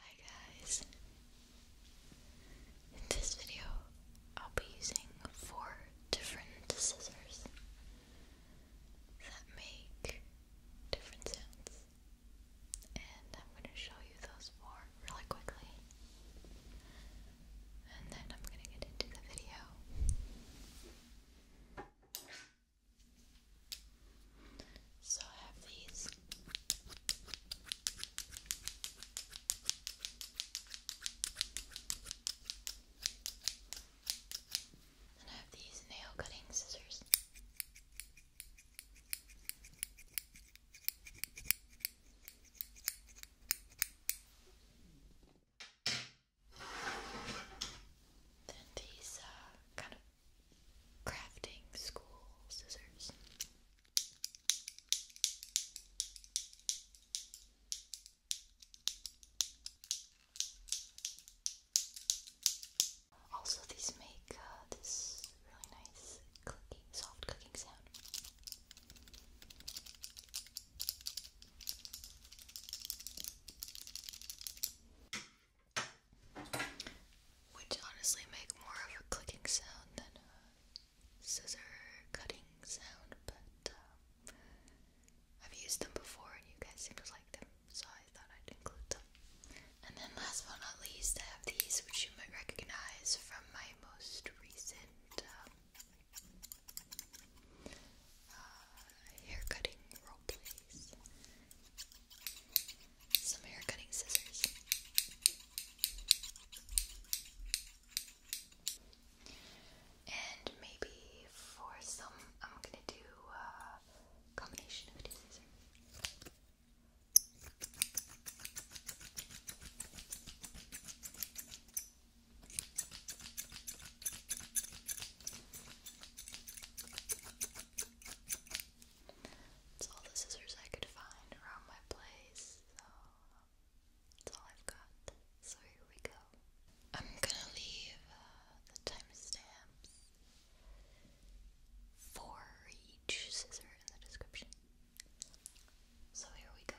Hi guys! In this video, I'll be using four different scissors that make different sounds, and I'm going to show you those four really quickly, and then I'm going to get into the video. So I have these. And I have these nail cutting scissors. Then these uh, kind of crafting school scissors. Also, these make uh, this really nice clicking, soft clicking sound. Which honestly make more of a clicking sound than a scissor cutting sound, but um, I've used them before and you guys seem to like them, so I thought I'd include them. And then last but not least, I have these which you might recognize from my most recent um, uh, hair cutting role plays some hair cutting scissors. And maybe for some, I'm gonna do a combination of these scissors. It's all the scissors I could find around my place, so that's all I've got. So here we go. I'm gonna leave uh, the timestamps for each scissor in the description. So here we go.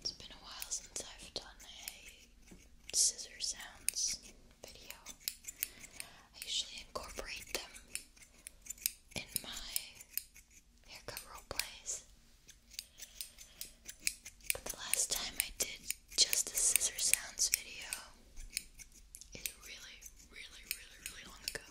It's been a while since I've done a scissor sounds video. I usually incorporate them in my haircut role plays. But the last time I did just a scissor sounds video is really, really, really, really long ago.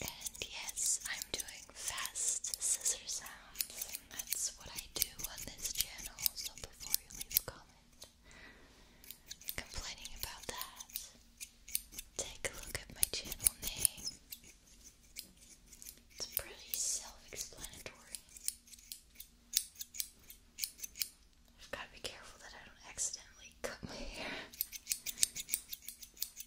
And yes, I'm doing fast scissor sounds. That's what I do on this channel, so before you leave a comment complaining about that, take a look at my channel name. It's pretty self explanatory. I've got to be careful that I don't accidentally cut my hair.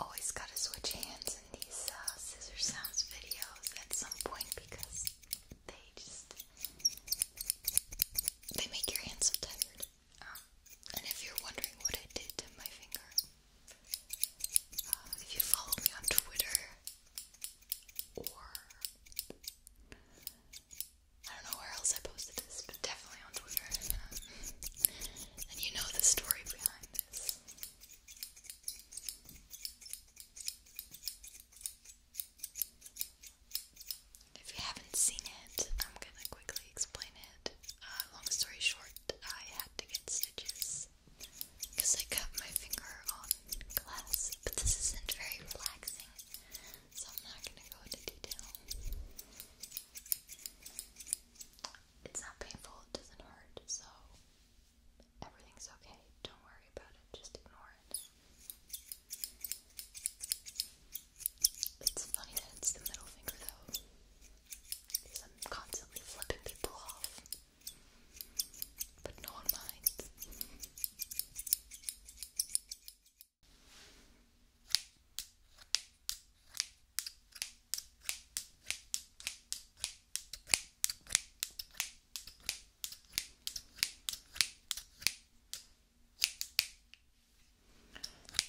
Always gotta switch hands in these uh, scissor sounds videos at some point because they just they make your hands so tired. Um, and if you're wondering what I did to my finger, uh, if you follow me on Twitter or I don't know where else I posted this, but definitely on Twitter. Um, and you know the story behind this. If you haven't seen it, I'm gonna quickly explain it. Uh, long story short, I had to get stitches because I cut my finger on glass, but this isn't very relaxing, so I'm not gonna go into detail. It's not painful, it doesn't hurt, so everything's okay. Don't worry about it, just ignore it. It's funny that it's the middle finger though, because I'm constantly flipping people off, but no one minds.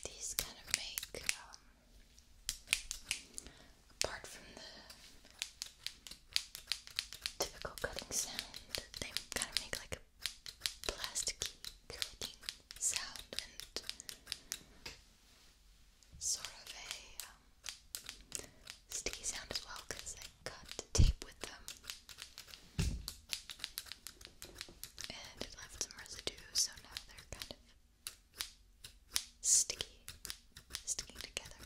These kind of make, um, apart from the typical cutting sound, they kind of make like a plasticky clicking sound and sort of a um, sticky sound as well because cut tape with them. And it left some residue, so now they're kind of sticky, sticking together.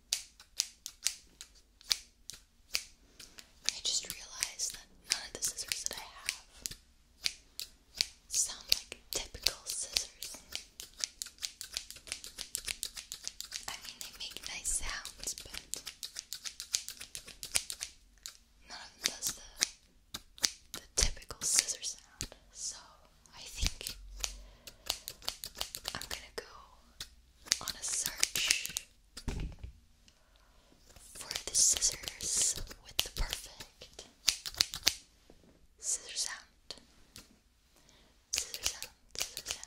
I just realized that none of the scissors that I have sound like typical scissors. I mean, they make nice sounds, but none of them does the, the typical scissor sound. So I think I'm gonna go on a search for the scissors with the perfect scissors sound. Scissor sound, sound.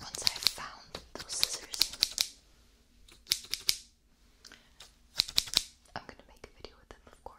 Once i found those scissors, I'm going to make a video with them, of course.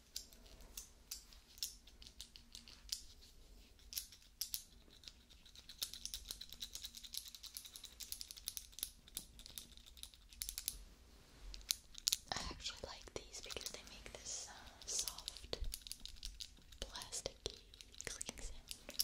I actually like these because they make this uh, soft, plasticky clicking sound.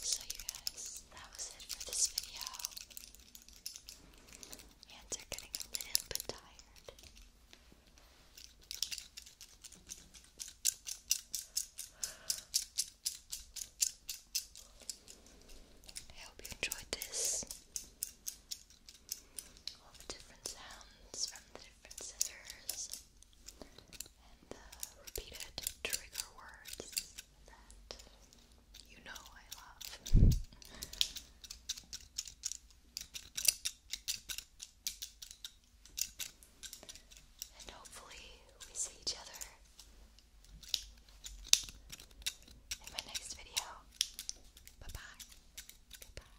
So, you guys, that was it for this video. Hands are getting a little bit tired. I hope you enjoyed this. All the different sounds from the different scissors the uh, repeated trigger words that you know I love. and hopefully, we see each other in my next video. Bye bye. Goodbye.